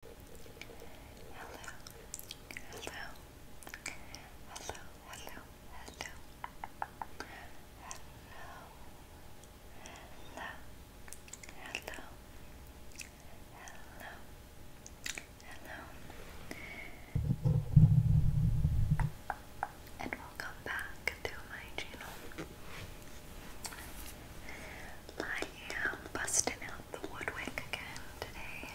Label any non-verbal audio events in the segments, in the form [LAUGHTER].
Hello, hello, hello, hello, hello, hello, hello, hello, hello, hello, and welcome back to my channel. I am busting out the woodwick again today.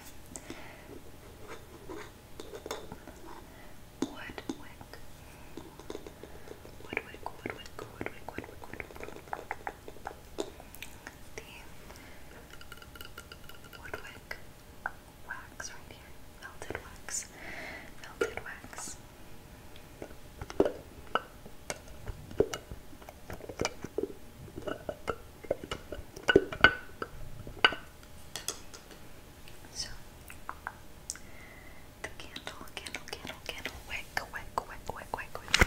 Woodwick. Woodwick, woodwick, woodwick, woodwick, woodwick. The woodwick wax right here. Melted wax. Melted wax. So the candle, candle, candle, candle, wick, wick, wick, wick, wick, wick, wick.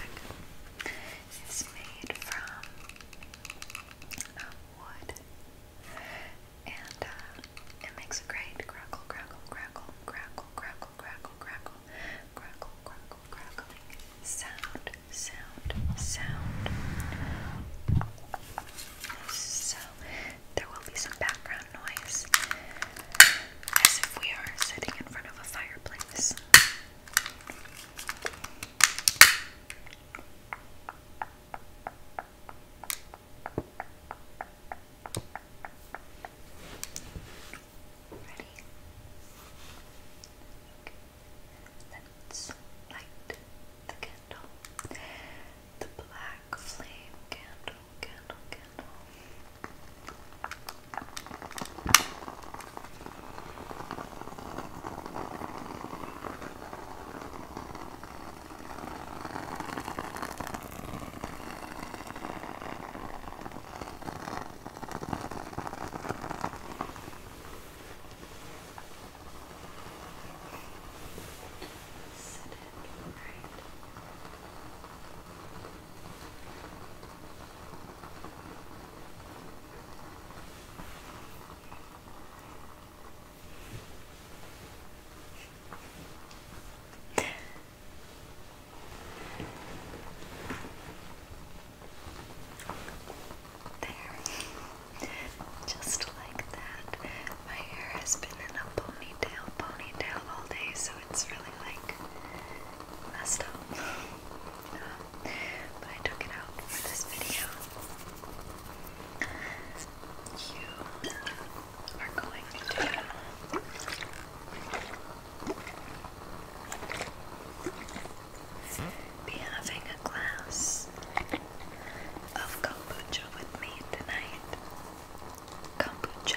It's made from um, wood, and uh, it makes a great crackle, crackle, crackle, crackle, crackle, crackle, crackle, crackle, crackle, crackling sound, sound, sound. So there will be some background noise as if we are sitting in front of a fireplace. Ready? Let's light the candle. The black flame candle, candle, candle. Set it right. There. Just like that. My hair has been in a ponytail, ponytail all day, so it's really like messed up. [LAUGHS] but I took it out for this video. You are going to be having a glass of kombucha with me tonight. Kombucha.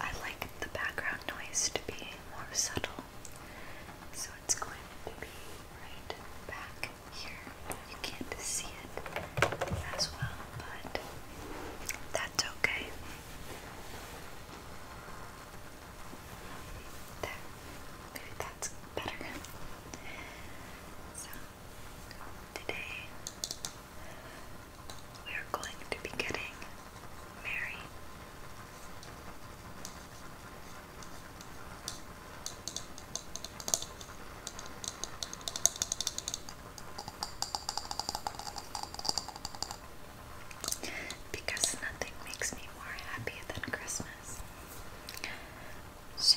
I like the background noise to be more subtle, so it's going to be right back here. You can't see it as well, but that's okay. There. Maybe that's better. So, today we are going to be getting married. Because nothing makes me more happy than Christmas. So,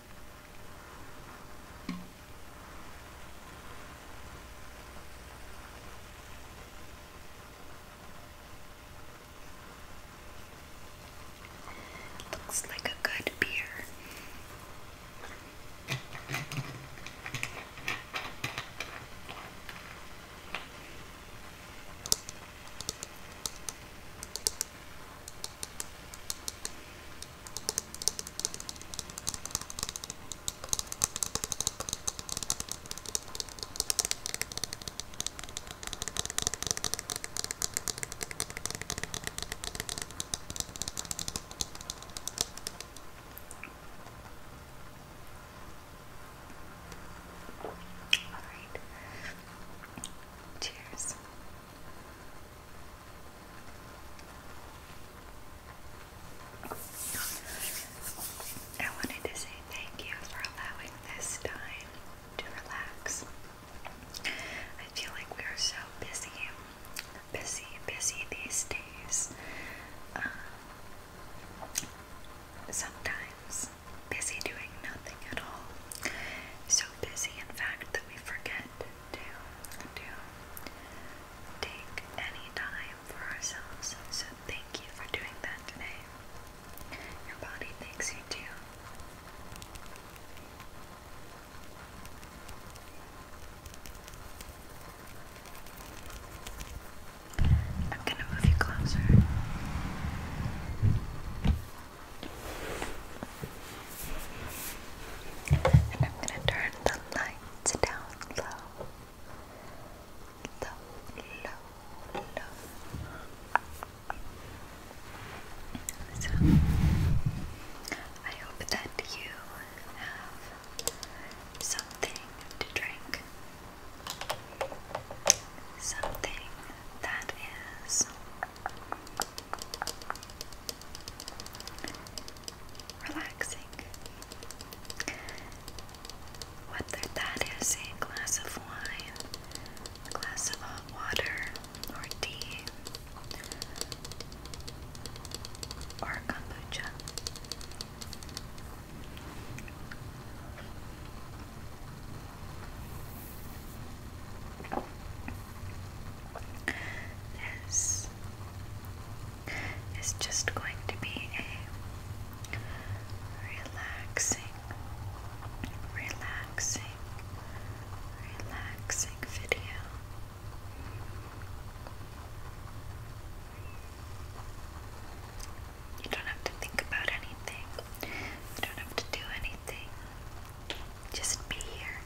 Looks like a good beer. All right. Cheers. I wanted to say thank you for allowing this time to relax. I feel like we are so busy, busy, busy these days. Um, sometimes busy doing nothing at all. So busy, in fact, that we forget to, to take any time for ourselves. So thank you for doing that today. Your body thanks you too. I'm going to move you closer. And I'm going to turn the lights down low. Low, low, low. So, I hope that you have something to drink. Something that is relaxing. Whether that is a glass of wine, a glass of hot water, or tea, or kombucha. This is just going to be a relaxing, relaxing, relaxing video. You don't have to think about anything. You don't have to do anything. Just be here.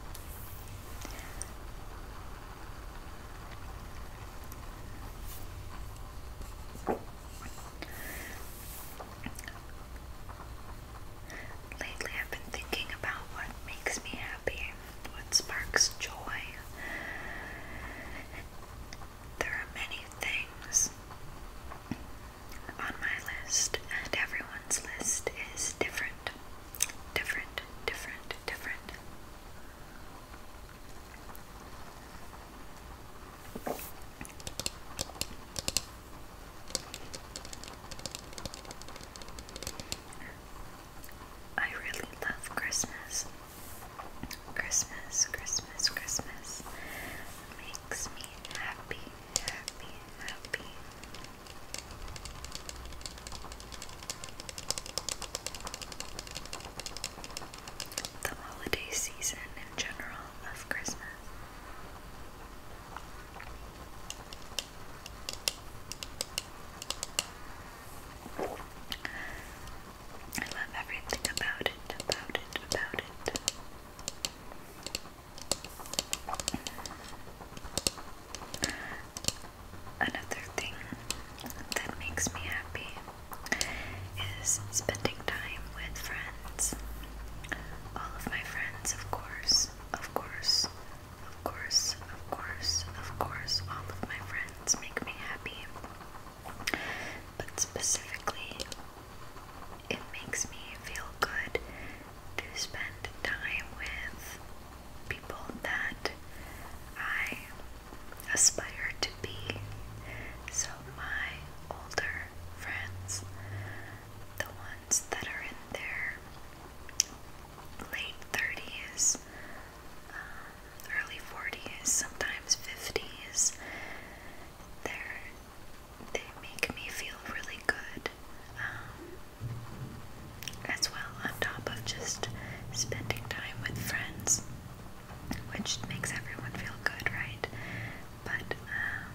Lately, I've been thinking about what makes me happy, what sparks joy. There are many things, on my list and everyone's list is different. Different, different, different. I really love Christmas. Christmas, Christmas, Christmas makes me happy, happy, happy. The holiday season in general of Christmas. I love everything about it, about it, about it. Another thing that makes me happy is spending time with friends. All of my friends, of course, of course, of course, of course, of course, all of my friends make me happy. But specifically, it makes me feel good to spend time with people that I aspire to be. So, my older friends, the ones that are in their late 30s, uh, early 40s, sometimes 50s, they they make me feel really good. Um, as well, on top of just spending time with friends, which makes everyone feel good, right? But um,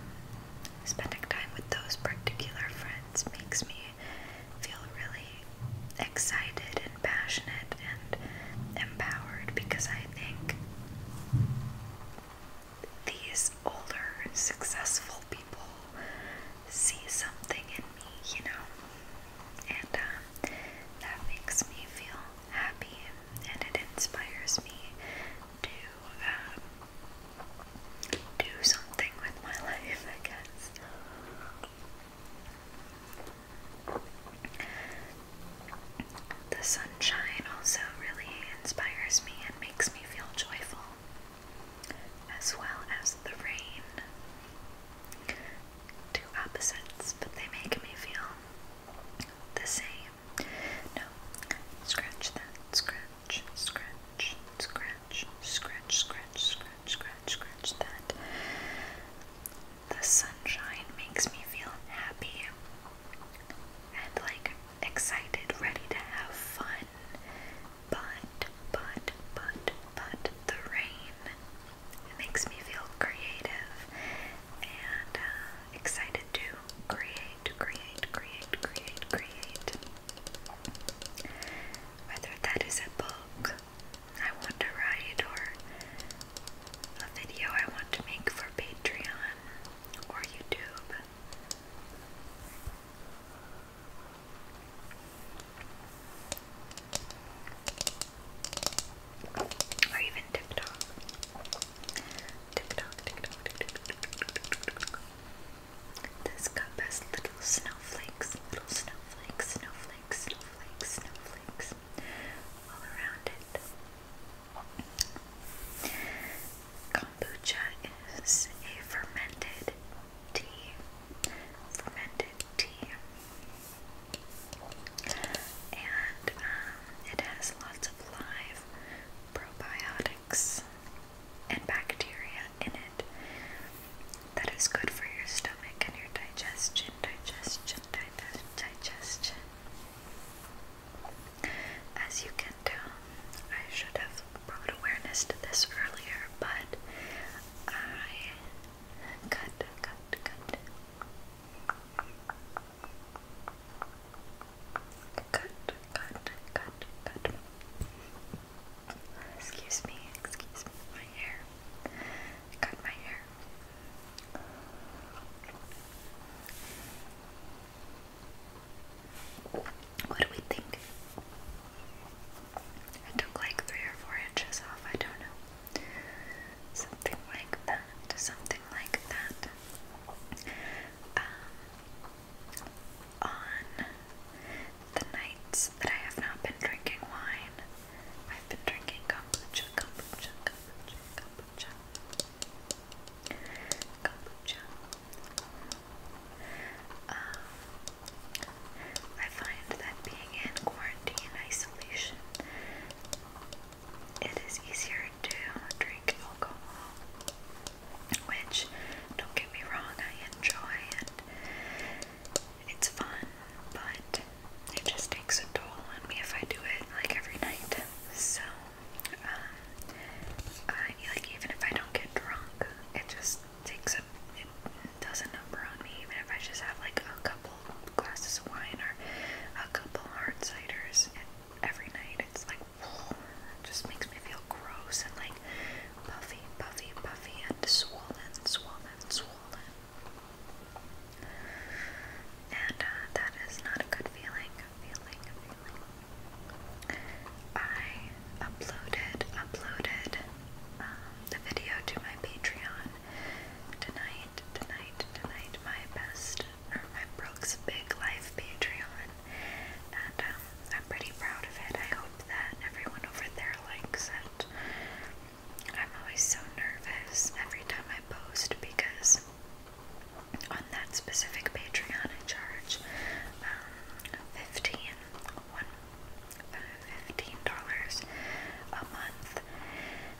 spending time with those particular friends makes me feel really excited and passionate and empowered because I think these older, successful people see something in me, you know, and um, that makes me feel happy and it inspires me to um, do something with my [LAUGHS] life, I guess. The sunshine also really inspires me and makes me feel joyful as well as the rain. Two opposites, but they make me feel the same. No, scratch that, scratch, scratch, scratch, scratch, scratch, scratch, scratch, scratch that. The sunshine makes me feel happy and like excited, ready to have fun. But, but, but, but the rain it makes me feel creative and uh, excited to create, create, create, create, create. Whether that is a book I want to write or a video I want to make for Patreon or YouTube. Or even TikTok. TikTok, TikTok, TikTok. This cup has little snowflakes, little snowflakes, snowflakes, snowflakes, snowflakes all around it. Kombucha is a fermented tea, fermented tea, and um, it has lots of live probiotics and bacteria in it that is good for your stomach and your digestion, digestion, digestion, As you I should have brought awareness to this earlier, but I cut, cut, cut. Cut, cut, cut, cut. Excuse me, excuse me, my hair. cut my hair. What do we think? I took like three or four inches off, I don't know. Something like that, something like that. Um, on the nights that I have not been drinking wine, I've been drinking kombucha, kombucha. Kombucha. Um, I find that being in quarantine isolation, it is easier to drink alcohol, which, don't get me wrong, I enjoy and it's fun, but it just takes a toll on me if I do it like every night. So, um, I, like even if I don't get drunk, it just takes a it does a number on me, even if I just have like a couple glasses of wine or a couple hard ciders every night. It's like it [SNIFFS] just makes me feel gross and like puffy, puffy, puffy, and swollen, swollen, swollen. And uh, that is not a good feeling. Feeling, feeling. I uploaded, uploaded um, the video to my Patreon tonight, tonight, tonight, my best, my Brooks Big Life Patreon, and um, I'm pretty proud of it. I hope that everyone over there likes it. I'm always so nervous every time I post because on that specific Patreon I charge um, fifteen dollars a month,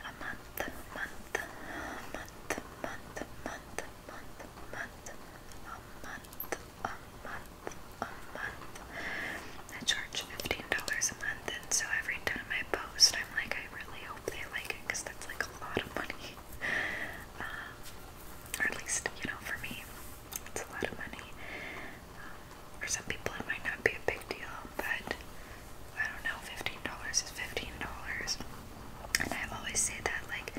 a month, month, month, month, month, month, month, a month, a month, a month. I charge fifteen dollars a month, and so every time I post, I'm like, I really hope they like it because that's like a lot of money, [LAUGHS] um, or at least you know for me. It's a lot of money. Um, for some people, it might not be a big deal, but I don't know, $15 is $15. And I always say that, like,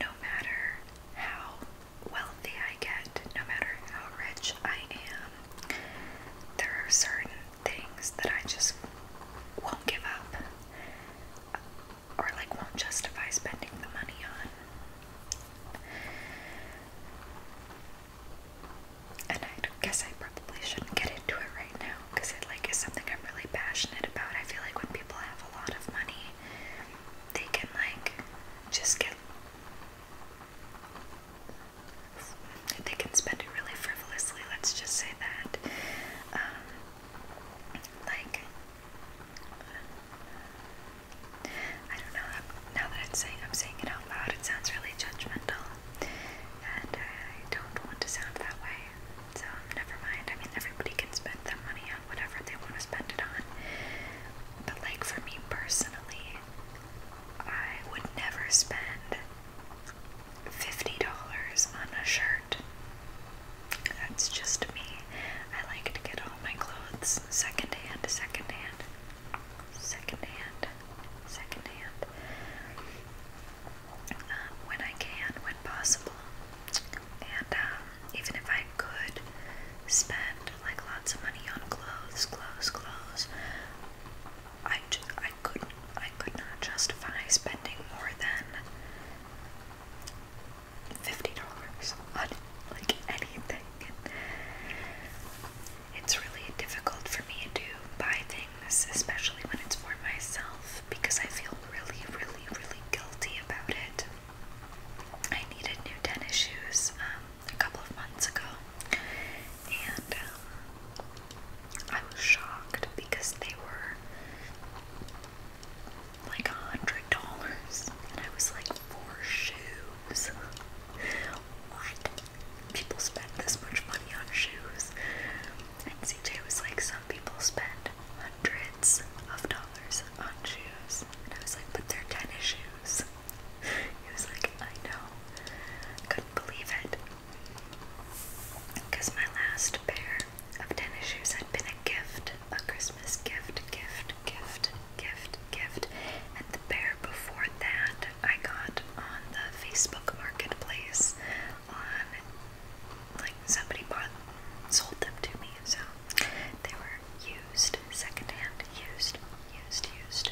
no matter how wealthy I get, no matter how rich I am, there are certain things that I just won't give up or like won't justify spending the money on. And I guess I probably shouldn't get into it right now because it like is something I'm really passionate about. I feel like when people have a lot of money, they can like just get they can spend it really frivolously. Let's just say that, um, like I don't know. Now that I'm saying I'm saying it out loud, it sounds really judgmental, and I don't want to sound that way. So never mind. I mean, everybody can spend their money on whatever they want to spend it on. But like for me personally, I would never spend fifty dollars on a shirt. That's just me. I like to get all my clothes secondhand, secondhand, secondhand, secondhand. Um, when I can, when possible. And um, even if I could spend like lots of money on clothes, clothes, clothes, I, I couldn't, I could not justify spending more than fifty dollars on like anything. It's really difficult for me to buy things, especially when it's for myself, because I feel really, really, really guilty about it. I needed new tennis shoes um, a couple of months ago, and um, I was shocked because they were like a hundred dollars, and I was like, four shoes. what? People spend this much money on shoes? And CJ was like, some people spend hundreds of dollars on shoes. And I was like, but they're tennis shoes. He was like, I know. Couldn't believe it. Because my last pair of tennis shoes had been a gift a Christmas gift, gift, gift, gift, gift. And the pair before that I got on the Facebook marketplace on like somebody bought sold them to me, so they were used, secondhand, used, used, used.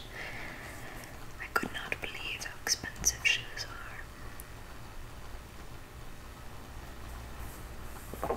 I could not believe how expensive shoes are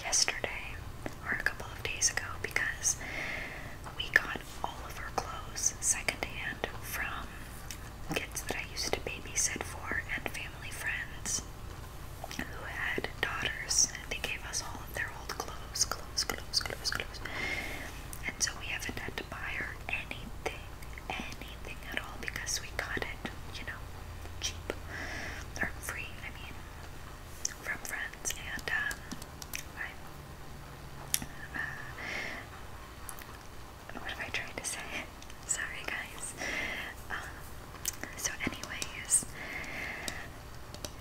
yesterday or a couple of days ago because we got all of our clothes secondhand from kids that I used to babysit for and family friends who had daughters. And they gave us all of their old clothes, clothes, clothes, clothes, clothes. And so we haven't had to buy her anything, anything at all because we got it, you know, cheap or free, I mean from friends, and um, uh, what am I trying to say? [LAUGHS] Sorry, guys. Um, so, anyways,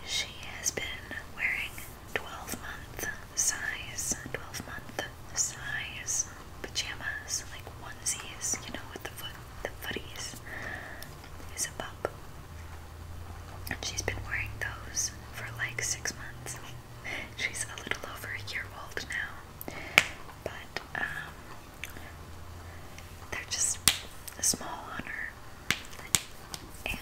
she has been wearing 12 month size, 12 month size pajamas, like onesies, you know, with the footies is a pup. And she's been wearing those for like six months. She's a little over a year old now. But um they're just small on her. And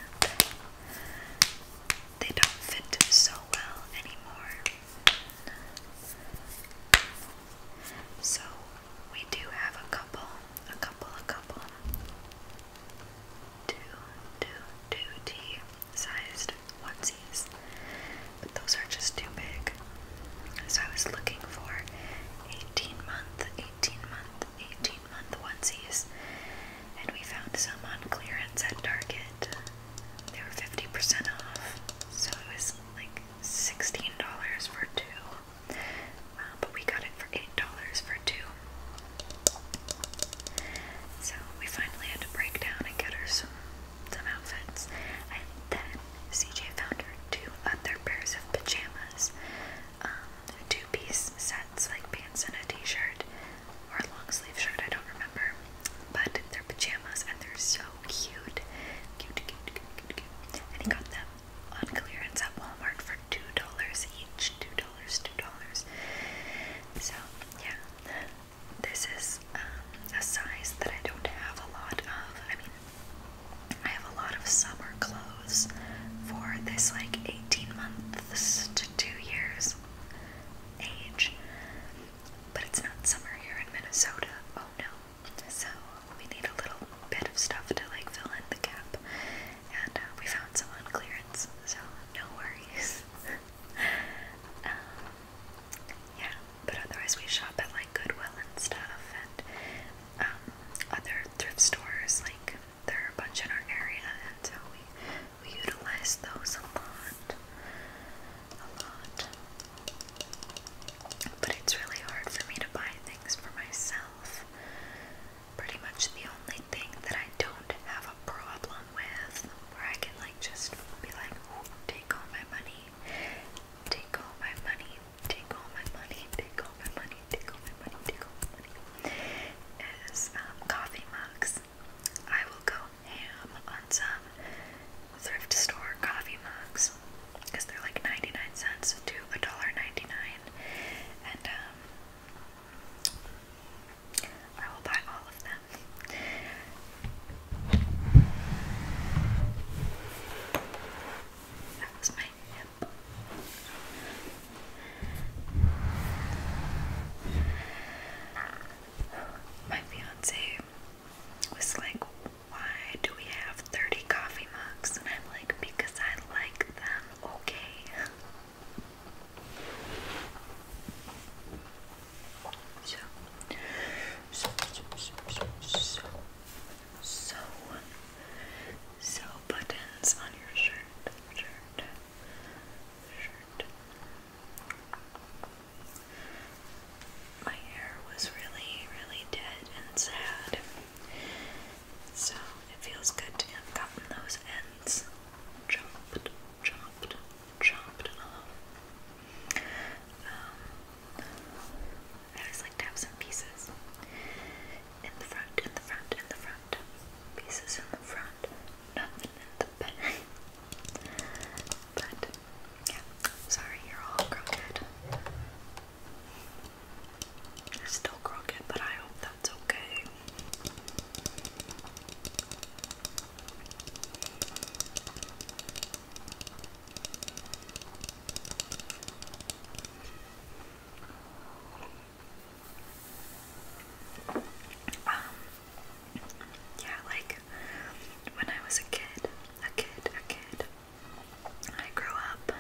they don't fit so well anymore. So we do have a couple, a couple, a couple, two, two, two T sized onesies, but those are just too big. So I was looking for 18 month, 18 month, 18 month onesies, and we found some on clearance at Target. They were 50% off, so it was like $16 for two. Uh, but we got it for $8 for two. So we finally had to break down and get her some, some outfits. And then CJ found her two other pairs of pajamas. Um, two piece sets, like pants and a t shirt, or a long sleeve shirt, I don't remember. But they're pajamas and they're so cute. cute. And he got them on clearance at Walmart for $2 each. $2, $2. So, yeah. This is um, a size that I don't have a lot of. I mean, I have a lot of summer clothes for this like 18 months to 2 years age. But it's not summer here in Minnesota. Oh no. So we need a little bit of stuff to like fill in the gap, and uh, we found some on clearance, so no worries. [LAUGHS] um, yeah, but otherwise we shop at like Goodwill and stuff, and um, other thrift stores. Like there are a bunch in our area, and so we we utilize those a lot, a lot. But it's really hard for me to buy things for myself. Pretty much the only thing that I don't have a problem with, where I can like just be like, take all my money, take all my money, take all my money, take all my money, take all my money, take all my money, is um, coffee mugs. I will go ham on some thrift store coffee mugs because they're like 99 cents to $1.99 and um, I will buy all of them. That was my My fiance was like, Why do we have 30 coffee mugs? And I'm like, Because I I like them okay. so, so, so, so, so, so buttons on your shirt, shirt, shirt. My hair was really, really dead and sad. So it feels good to have gotten those ends chopped, chopped, chopped off. Um, I always like to have some pieces in the front, in the front, in the front, pieces in the front, nothing in the back. [LAUGHS] but yeah, sorry, you're all grounded still crooked, but I hope that's okay. Um, yeah, like when I was a kid, a kid, a kid, I grew up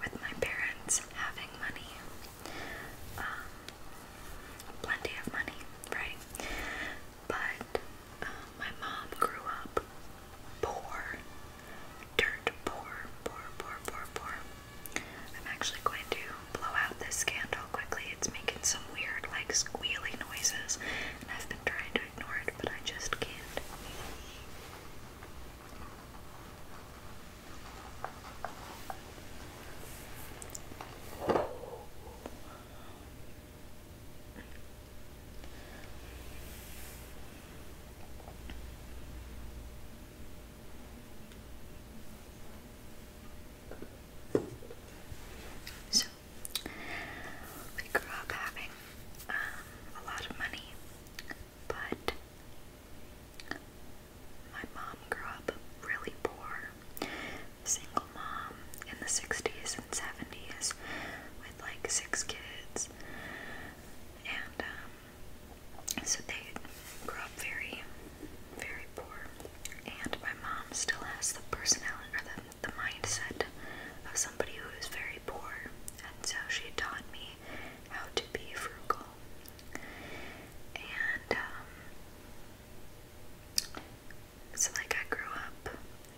with my parents having money, um, plenty of money, right? But um, my mom grew up poor, dirt poor, poor, poor, poor, poor. I'm actually going to blow out this candle quickly. It's making some weird, like, squealy noises, and I've been trying to ignore it, but I just can't. So, we grew up having um, a lot of money, but my mom grew up really poor, single mom in the 60s and 70s with like six kids. And um, so they grew up very, very poor. And my mom still has the personality or the, the mindset of somebody who is very poor. And so she taught me how to be frugal. And um, so, like, I grew up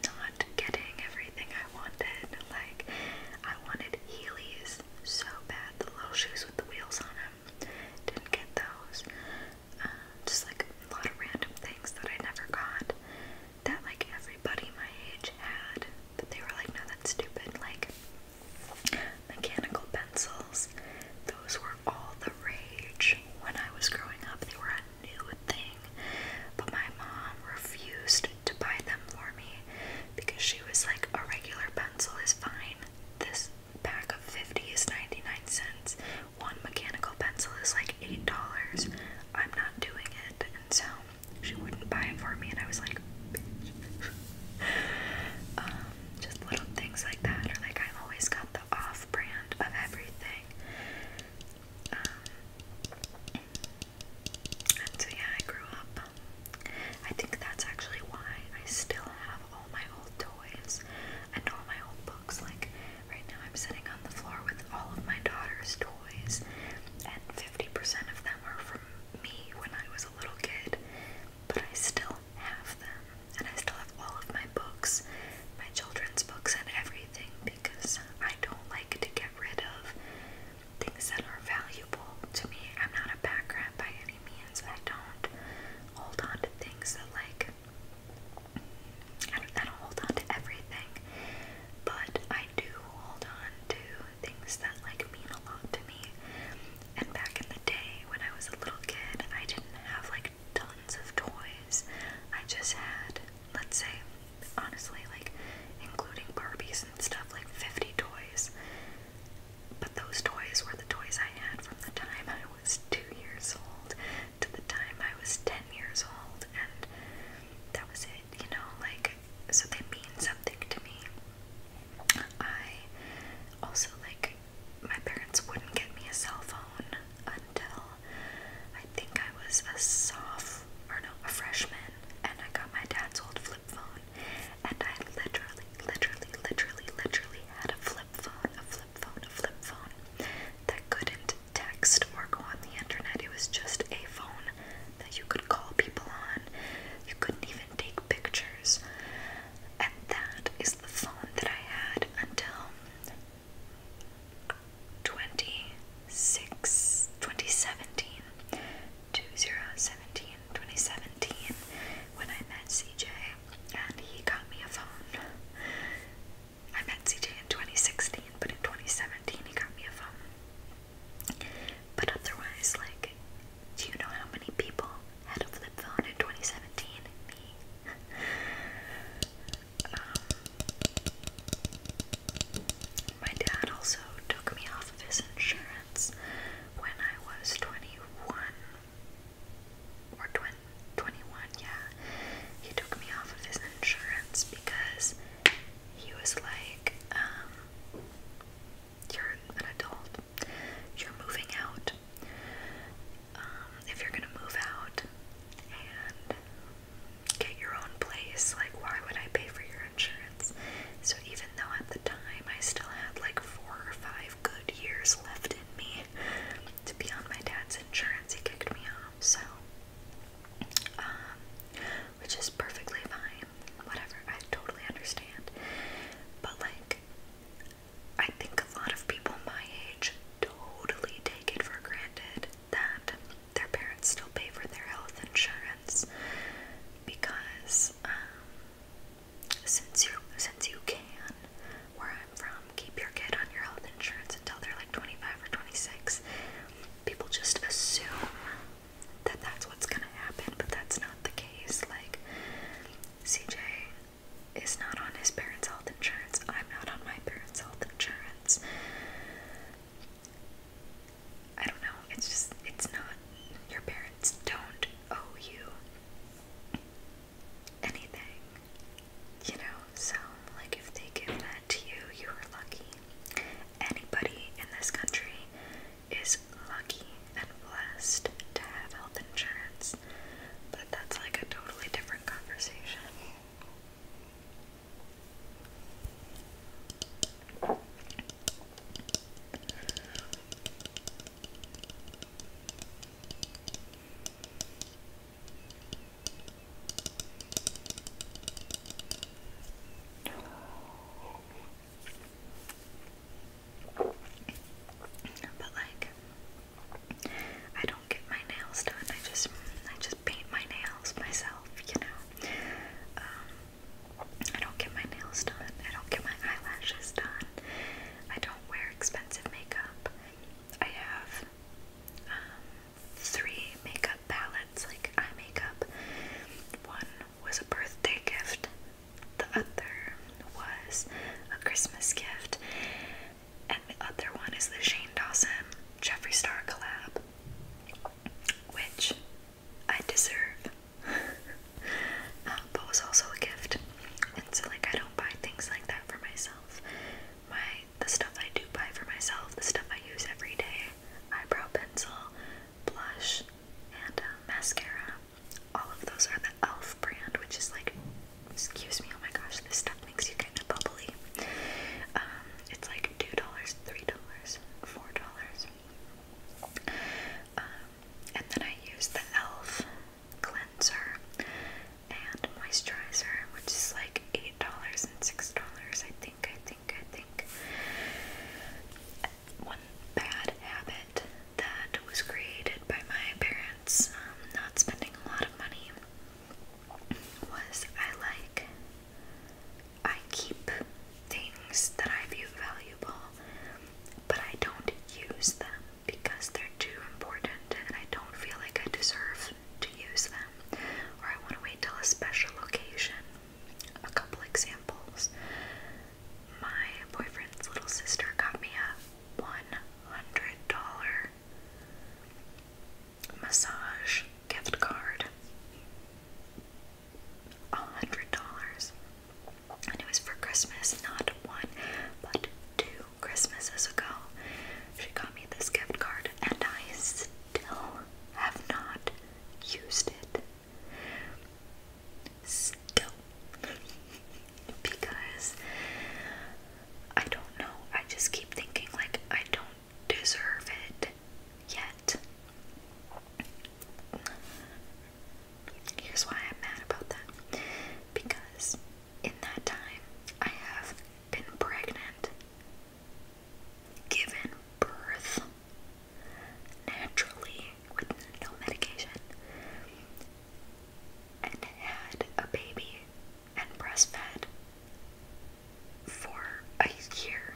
not getting everything I wanted. Like, I wanted Heelys so bad, the little shoes with the wheels on them. Didn't get those. Um, just like a lot of random things that I never got that, like, everybody my age had, but they were like, no, that's stupid. Like, Mechanical pencils, those were all the rage. When I was growing up, they were a new thing, but my mom refused to buy them for me because she was like, a regular pencil is fine. This pack of 50 is 99 cents. One mechanical pencil is like $8. I'm not doing it. And so she wouldn't buy it for me, and I was like, bitch. Um, just little things like that, or like I always got the off brand of everything. Um, and so, yeah, I grew up. I think that's actually why I still have all my old toys and all my old books. Like, right now, I'm sitting on the floor with all of my daughter's toys, and 50% of them are from me when I was a little kid, but I still have them, and I still have all of my books, my children's books, and everything because I don't like to get rid of things that are valuable to me. I'm not a back rat by any means. I don't hold on to things that, like, I don't, I don't hold on to everything, but I do hold on to the things that like mean a lot to me. And back in the day when I was a little kid, I didn't have like tons of toys. I just had, let's say, honestly, like including Barbies and stuff, like 50 toys. But those toys were the toys I had from the time I was two years old to the time I was 10 years old, and that was it, you know, like so they mean something to me. I also like my parents wouldn't get me a cell phone until I think I was a soft or no a freshman and I got my dad's old flip phone and I literally, literally, literally, literally had a flip phone, a flip phone, a flip phone that couldn't text or go on the internet. It was just a phone that you could call people on. You couldn't even take pictures. And that is the phone that I had until 26, 2017, 2017, when I met CJ and he got me a phone. I met CJ in 2016, but in 2017 he got me a phone. But otherwise, like, do you know how many people had a flip phone in 2017? Me. Um, my dad also took me off of his insurance when I was 21. Or 21, yeah. He took me off of his insurance because he was like, um, you're an adult. You're moving out. Um, if you're gonna move out and get your own place, like why would I pay for your insurance? So even though at the time I still had like four or five good years left in me to be on my dad's insurance, he kicked me off. So um, which is perfectly fine. Whatever, I totally understand. But, like, I think a lot of people my age totally take it for granted that their parents still pay for their health insurance because, um, since you, since you can, where I'm from, keep your kid on your health insurance until they're like 25 or 26. People just assume that that's what's gonna happen, but that's not the case. Like, CJ is not on his parents' health insurance, I'm not on my parents' health insurance. I don't know, it's just, it's not, your parents don't owe you anything, you know? So, like, if they give that to you, you are lucky. Anybody in this country is lucky and blessed to have health insurance, but that's like a totally different conversation. But like I don't get my nails done. I just I just paint my nails myself, you know. Um, I don't get my nails done. I don't get my eyelashes done. I don't wear expensive makeup. I have um, three makeup palettes, like eye makeup, one was a birthday gift, the other was a Christmas gift, and the other one is the Shane Dawson Jeffree Star collab, which I deserve, [LAUGHS] um, but was also a gift. And so, like, I don't buy things like that for myself. My the stuff I do buy for myself, the stuff I use every day, eyebrow pencil, blush, and uh, mascara all of those are the e.l.f. brand, which is like, excuse me, oh my gosh, this stuff makes you kind of bubbly. Um, it's like two dollars, three dollars, four dollars. Um, and then I use the e.l.f. cleanser and moisturizer, which is like eight dollars and six dollars, I think. I think. I think one bad habit that was created by my parents um, not spending a lot of money was I like I keep things that I view valuable, but I don't use them because they're too important and I don't feel like I deserve to use them, or I want to wait till a special occasion. A couple examples. My boyfriend's little sister got me a $100 massage gift card. $100. And it was for Christmas, not one, but two Christmases ago. She got me this gift card, and I still have not used it still because I don't know. I just keep thinking like I don't deserve it yet. Here's why I'm mad about that. Because in that time I have been pregnant, given birth, naturally with no medication and had a baby and breastfed for a year.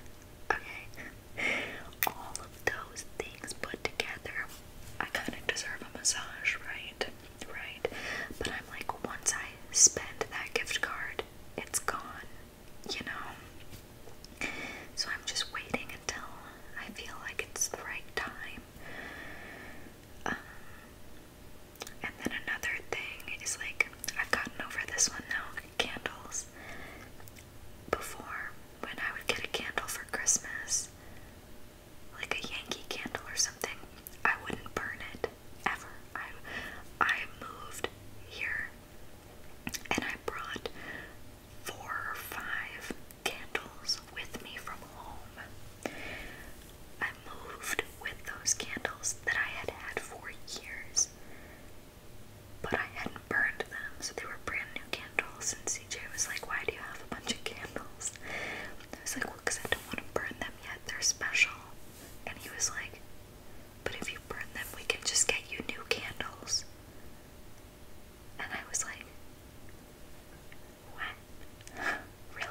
Okay? All of those things put together, I kind of deserve a massage, right? Right? But I'm like, once I spend that gift card, it's gone, you know? So I'm just waiting until I feel like it's the right time. Um, and then another thing is like, I've gotten over this one now candles. Before, when I would get a candle for Christmas, like a Yankee candle or something, I wouldn't burn it ever. I, I moved here and I brought four or five candles with me from home. I moved with those candles that I had had for years, but I hadn't burned them, so they were brand new candles. And CJ was like, Why do you have a bunch of candles? I was like, Well, because I don't want to burn them yet, they're special. And he was like, But if you burn them, we can just get you new candles. And I was like, what? [LAUGHS] really?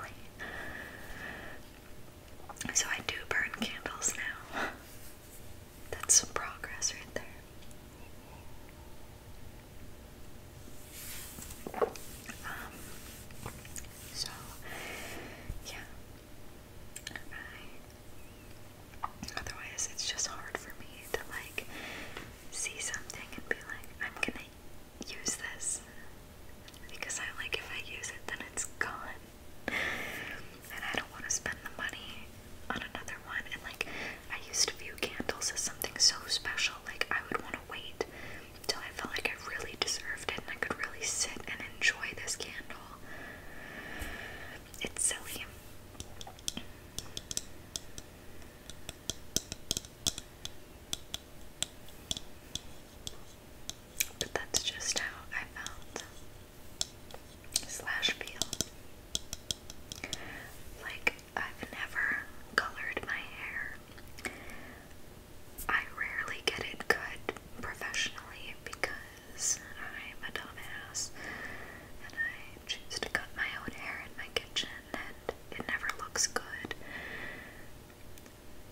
So I do burn candles now. That's some progress right there. Um, so, yeah. I, otherwise, it's just hard for me to like see something and be like, I'm gonna use this because I like if I use it, then it's gone, and I don't want to spend the money on another one. And like, I used to view candles as something so special, like, I would want to wait till I felt like I really deserved it and I could really sit and enjoy this candle. It's silly. But that's just how I found them. Slash feel. Like, I've never colored my hair. I rarely get it cut professionally because I'm a dumbass and I choose to cut my own hair in my kitchen and it never looks good.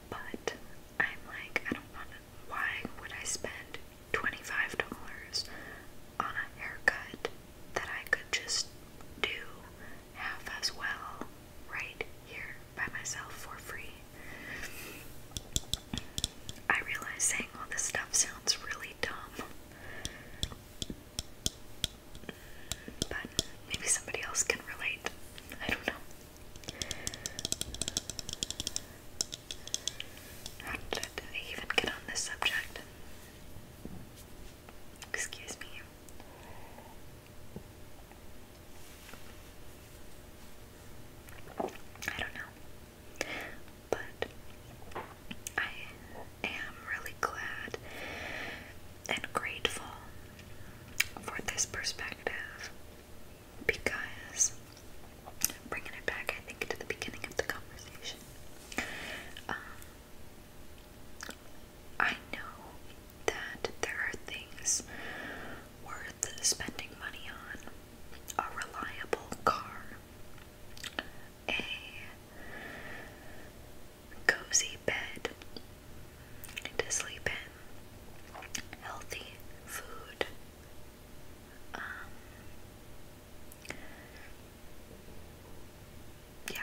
But I'm like, I don't want Why would I spend $25 on a haircut that I could just do half as well right here by myself for free? I realize saying all this stuff sounds really dumb. But maybe somebody else can relate. I don't know. How did I even get on this subject? Excuse me. I don't know. But I am really glad and grateful for this perspective because bringing it back, I think, to the beginning of the conversation. Um, I know that there are things worth spending money on a reliable car, a cozy bed to sleep in, healthy food. Um, yeah,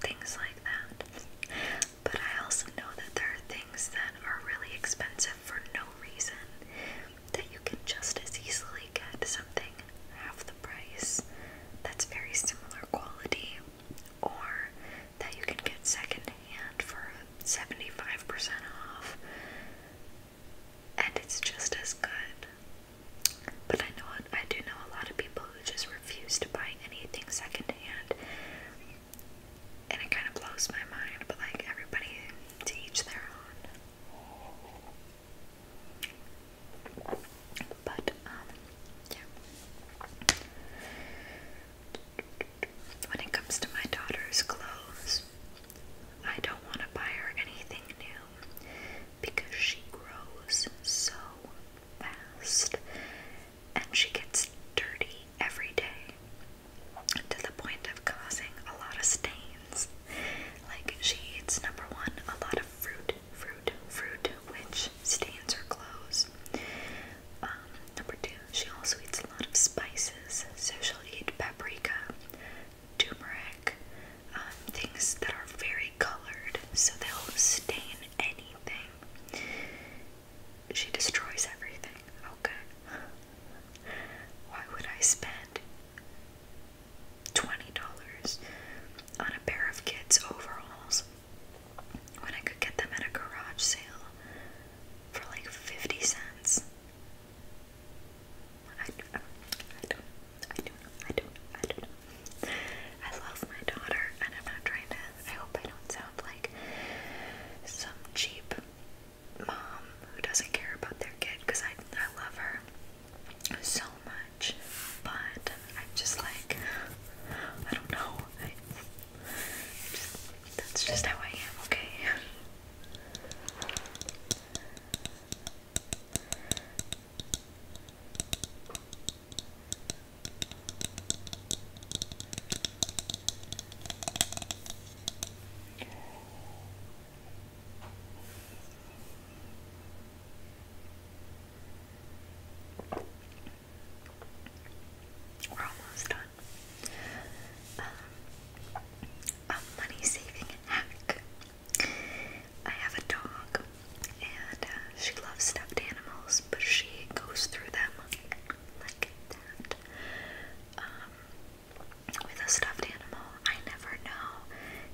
things like that. But I also know that there are things that are really expensive for no reason that you can just as easily get something something half the price that's very similar quality or that you can get secondhand for 75% off and it's just as good. But I know I do know a lot of people who just refuse to buy anything secondhand. And it kind of blows my mind, but like everybody to each their own. But um yeah. When it comes to my daughter's clothes, I don't want to buy her anything new because she grows so fast and she gets dirty every day to the point of causing a lot of stains. Like, she eats number one, a lot of fruit fruit, fruit, which stains her clothes. Um, number two, she also eats a lot of spices, so she'll eat paprika, turmeric, um, things that are very colored, so they'll stain anything. She destroys everything. Okay. Why would I spend $20 on a pair of kids' overalls when I could get them at a garage sale for like 50 cents. I, I, I don't, I don't, I don't, I don't I love my daughter, and I'm not trying to. I hope I don't sound like some cheap mom who doesn't care about their kid because I, I love her so much, but I'm just like, I don't know. I, just, that's just how I am, okay? We're almost done. Um, a money saving hack. I have a dog, and uh, she loves stuffed animals, but she goes through them like that. Um, with a stuffed animal, I never know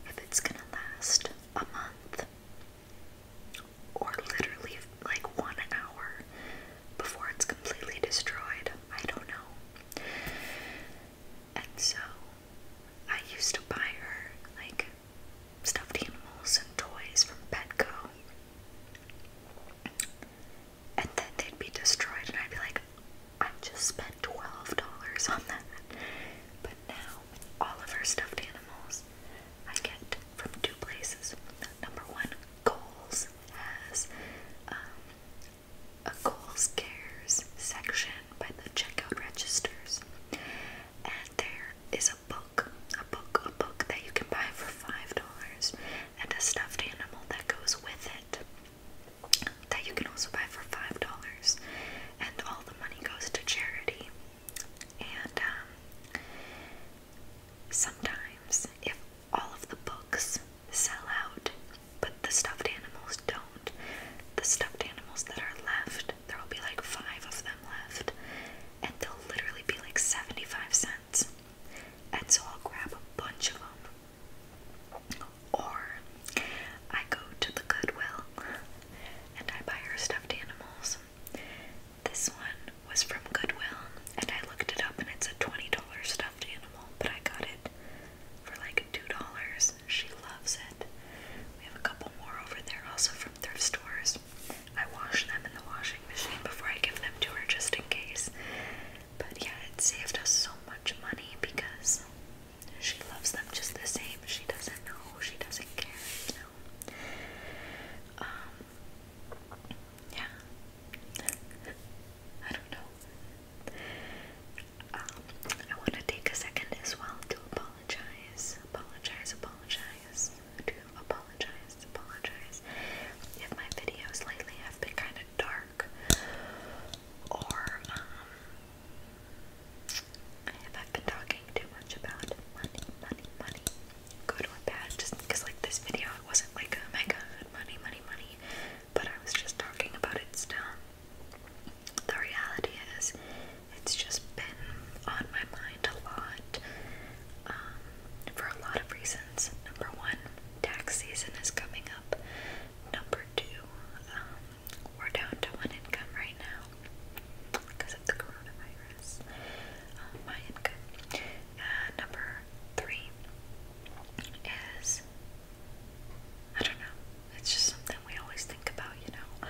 if it's gonna last a month or literally like one hour before it's completely destroyed. I don't know. And so I used to buy her like stuffed animals and toys from Petco. And then they'd be destroyed, and I'd be like, I just spent $12 on that now, all of our stuffed animals I get from two places. Number one, Kohl's has um, a Kohl's Cares section by the checkout registers, and there is a book, a book, a book that you can buy for five dollars, and a stuffed animal that goes with it. That you can also buy for five dollars, and all the money goes to charity. And um, sometimes, if all of the books sell out, but the stuffed animals don't, the stuffed animals that are left, there will be like five of them left, and they'll literally be like 75 cents. And so I'll grab a bunch of them. Or I go to the Goodwill and I buy her stuffed animals. This one was from Goodwill, and I looked it up, and it's a $20 stuffed animal, but I got it for like $2. She loves it. We have a couple more over there, also from thrift stores. I wash them in the washing machine before I give them to her just in case. But yeah, it saved us so much money because she loves them just the same. She doesn't know, she doesn't care, you know. Um, yeah. [LAUGHS] I don't know. Um, I want to take a second as well to apologize, apologize, apologize, to apologize, apologize. If my videos lately have been kind of dark or um, if i been talking too much about money, money, money, good or bad, just because like this video, it wasn't like oh my god, money, money, money, but I was just talking about it still. The reality is, it's just been on my mind a lot um, for a lot of reasons. Number one, tax season is coming up. Number two, um, we're down to one income right now now because of the coronavirus. Um, my income. And uh, number three is I don't know. It's just something we always think about, you know.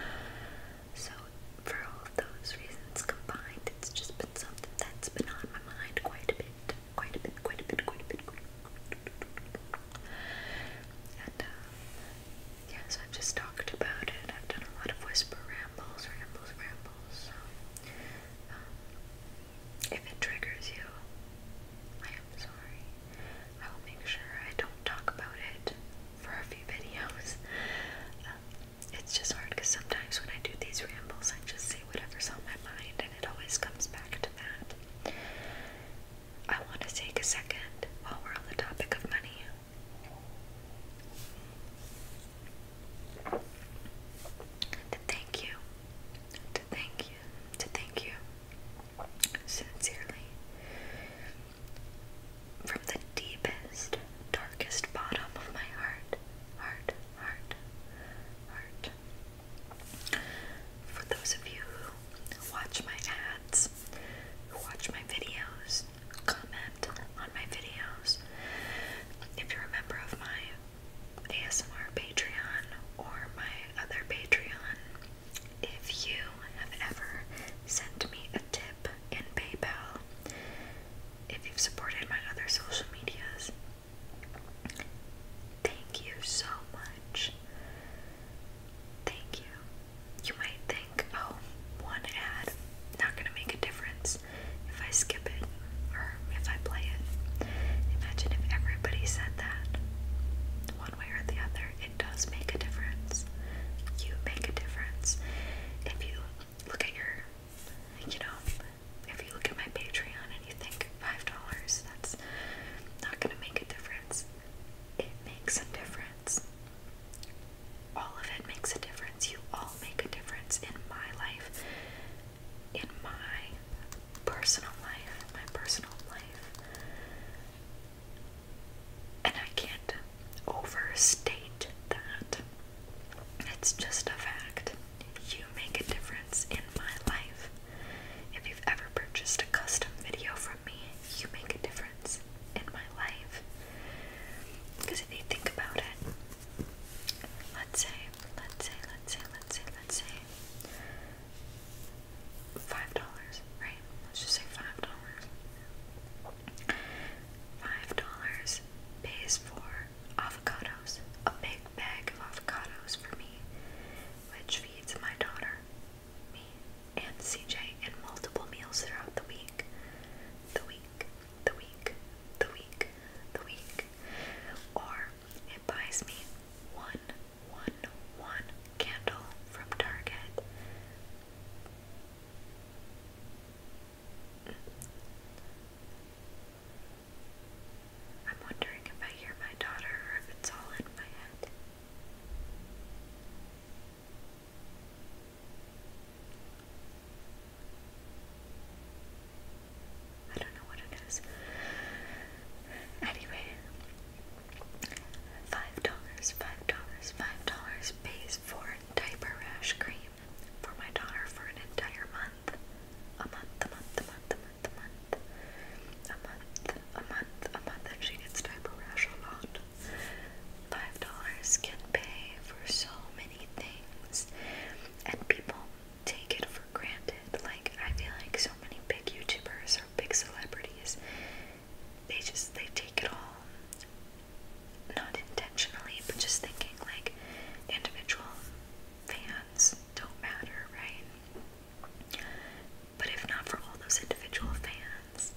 So for all of those reasons combined, it's just been something that's been on my mind quite a bit, quite a bit, quite a bit, quite a bit. Quite a bit. And uh, Yes, I've just talked about it. I've done a lot of whisper rambles, rambles, rambles. Um, if it triggers you, I am sorry. I will make sure I don't talk about it for a few videos. Um, it's just hard because sometimes when I do these rambles, I just say whatever's on my mind, and it always comes back to that. I want to take a second while we're on the topic of money to thank you, to thank you, to thank you sincerely from the deepest, darkest bottom of my heart, heart, heart, heart. For those of you who watch my ads, who watch my videos, comment on my videos. If you're a member of my ASMR Patreon or my other Patreon, if you have ever sent me a tip in PayPal, if you've supported my other social medias, thank you so much. Thank you. You might think, oh, one ad, not gonna make a difference if I skip it or if I play it. Imagine if everybody said that. One way or the other, it does make a difference. You make a difference. If you look at your, you know, if you look at my Patreon and you think $5, that's not gonna make a difference. It makes a difference all of it makes a difference. You all make a difference in my life, in my personal life, my personal life. And I can't overstate that. It's just a fact. You make a difference in my life. If you've ever purchased a custom video from me, you make a difference in my life. Because if you think about it, let's say, let's say, let's say, let's say, let's say, five dollars, right? Let's just say five dollars. Five dollars pays for avocados, a big bag of avocados for me, which feeds my daughter, me, and CJ and multiple meals throughout the week. The week, the week, the week, the week. Or it buys me one, one, one candle from Target. I'm wondering if I hear my daughter or if it's all in my head. I don't know what it is. Anyway, five dollars, five dollars, five dollars pays for diaper rash cream for my daughter for an entire month. A month, a month, a month, a month, a month, a month, a month, a month, and she gets diaper rash a lot. Five dollars can pay for so many things, and people take it for granted. Like, I feel like so many big YouTubers or big celebrities, they just they take it all not intentionally, but just thinking like individual fans don't matter, right? But if not for all those individual fans,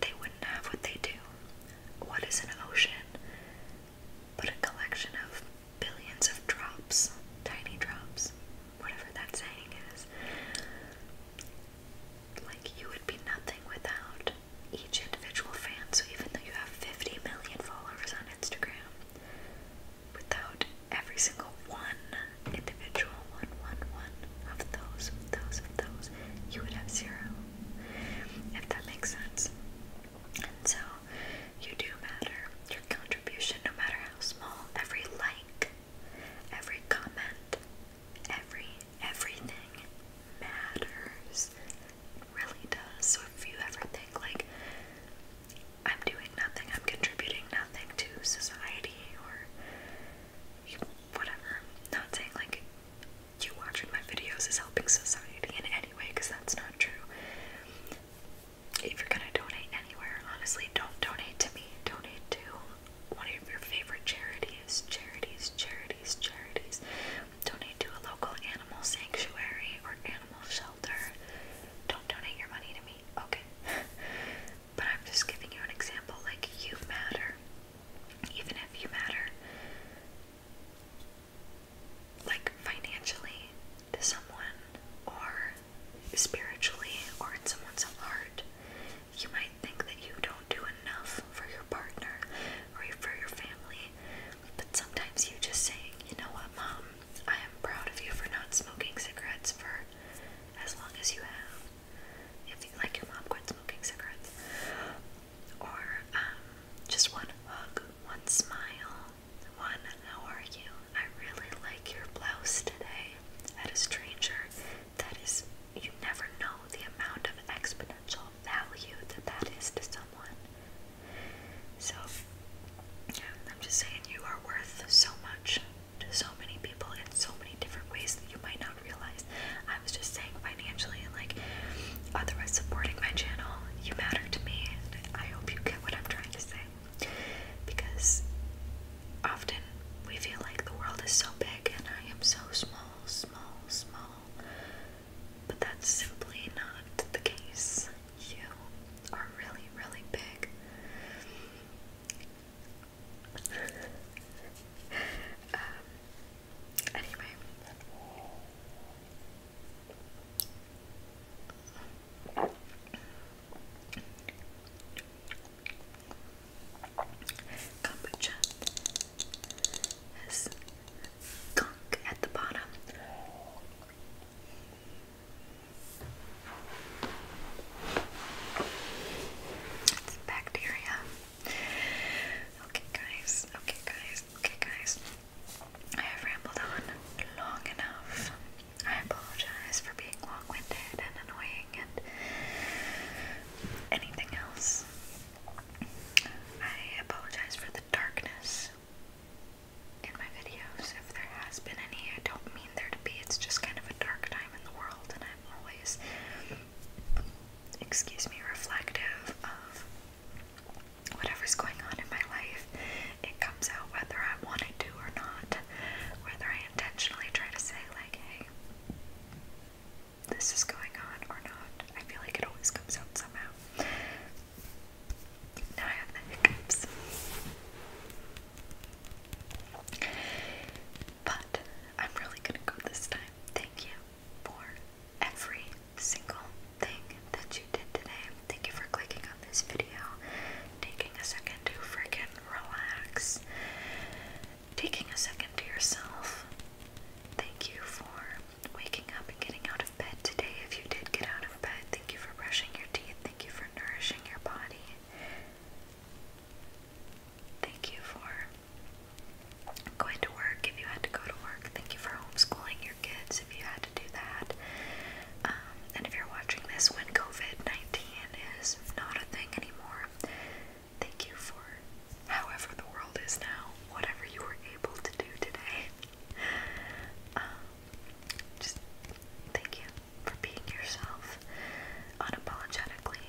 they wouldn't have what they do. What is an ocean but a collection of billions of drops, tiny drops, whatever that saying is? Like, you would be nothing without each individual fan. So, even though you have 50 million followers on Instagram, without every single one individual, one, one, one of those, those, of those, you would have zero if that makes sense. And so, you do matter. Your contribution, no matter how small, every like, every comment, every everything matters. It really does. So if you ever think like I'm doing nothing, I'm contributing nothing to society or whatever. Not saying like you watching my videos is helping society in any way because that's not true. If you're gonna donate anywhere, honestly, don't donate to me. Donate to one of your favorite charities, charities, charities, charities. Donate to a local animal sanctuary or animal shelter. Don't donate your money to me, okay? [LAUGHS] but I'm just giving you an example. Like, you matter even if you matter like financially to someone or spiritually or in someone's heart. You might think that you don't do enough for your partner or for your family, but sometimes you just say, you know what, mom, I am proud of you for not smoking cigarettes for as long as you have. If you like your mom quit smoking cigarettes or um, just one hug, one smile, one how are you? I really like your blouse today at a stranger. That is, you never know the amount of exponential value that that is to someone. So, yeah, I'm just saying you are worth so much to so many people in so many different ways that you might not realize. I was just saying financially and like otherwise supporting my channel, you matter to me and I hope you get what I'm trying to say. Because often we feel like the world is so big and I am so small, small, small. But that's simply not the case. You are really, really big. [LAUGHS] um, Kombucha has gunk at the bottom. It's bacteria. Okay, guys. Okay, guys. Okay, guys. I have rambled on long enough. I apologize for being long winded and annoying and anything else. I apologize for the darkness in my videos. If there has been any, I don't mean there to be. It's just kind of a dark time in the world, and always excuse me, reflective of whatever's going on in my life. It comes out whether I want to do or not, whether I intentionally try to say, like, hey, this is going on or not. I feel like it always comes out somehow. Now I have the hiccups. But I'm really gonna go this time. Thank you for every single thing that you did today. Thank you for clicking on this video, taking a second to freaking relax, taking a second to yourself. Thank you for waking up and getting out of bed today. If you did get out of bed, thank you for brushing your teeth. Thank you for nourishing your body. Thank you for Going to work if you had to go to work. Thank you for homeschooling your kids if you had to do that. Um, and if you're watching this when COVID 19 is not a thing anymore, thank you for however the world is now, whatever you were able to do today. Um, just thank you for being yourself unapologetically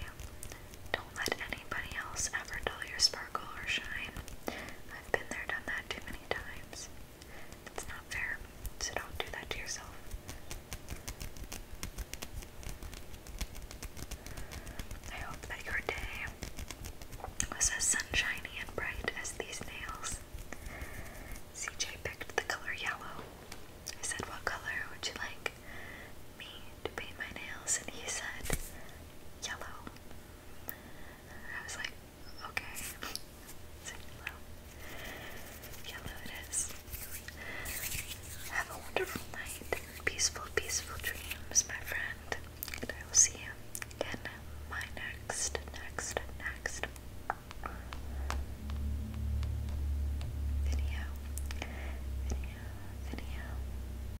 don't let anybody else ever dull your sparkle or shine. I've been there, done that too many times. It's not fair, so don't do that to yourself. I hope that your day was as sunshiny and bright as these nails. CJ picked the color yellow. I said, What color would you like me to paint my nails, and he said yellow. I was like, okay, yellow. [LAUGHS] Yellow it is. Have a wonderful night. Peaceful, peaceful dreams, my friend. And I will see you in my next, next, next video. Video, video.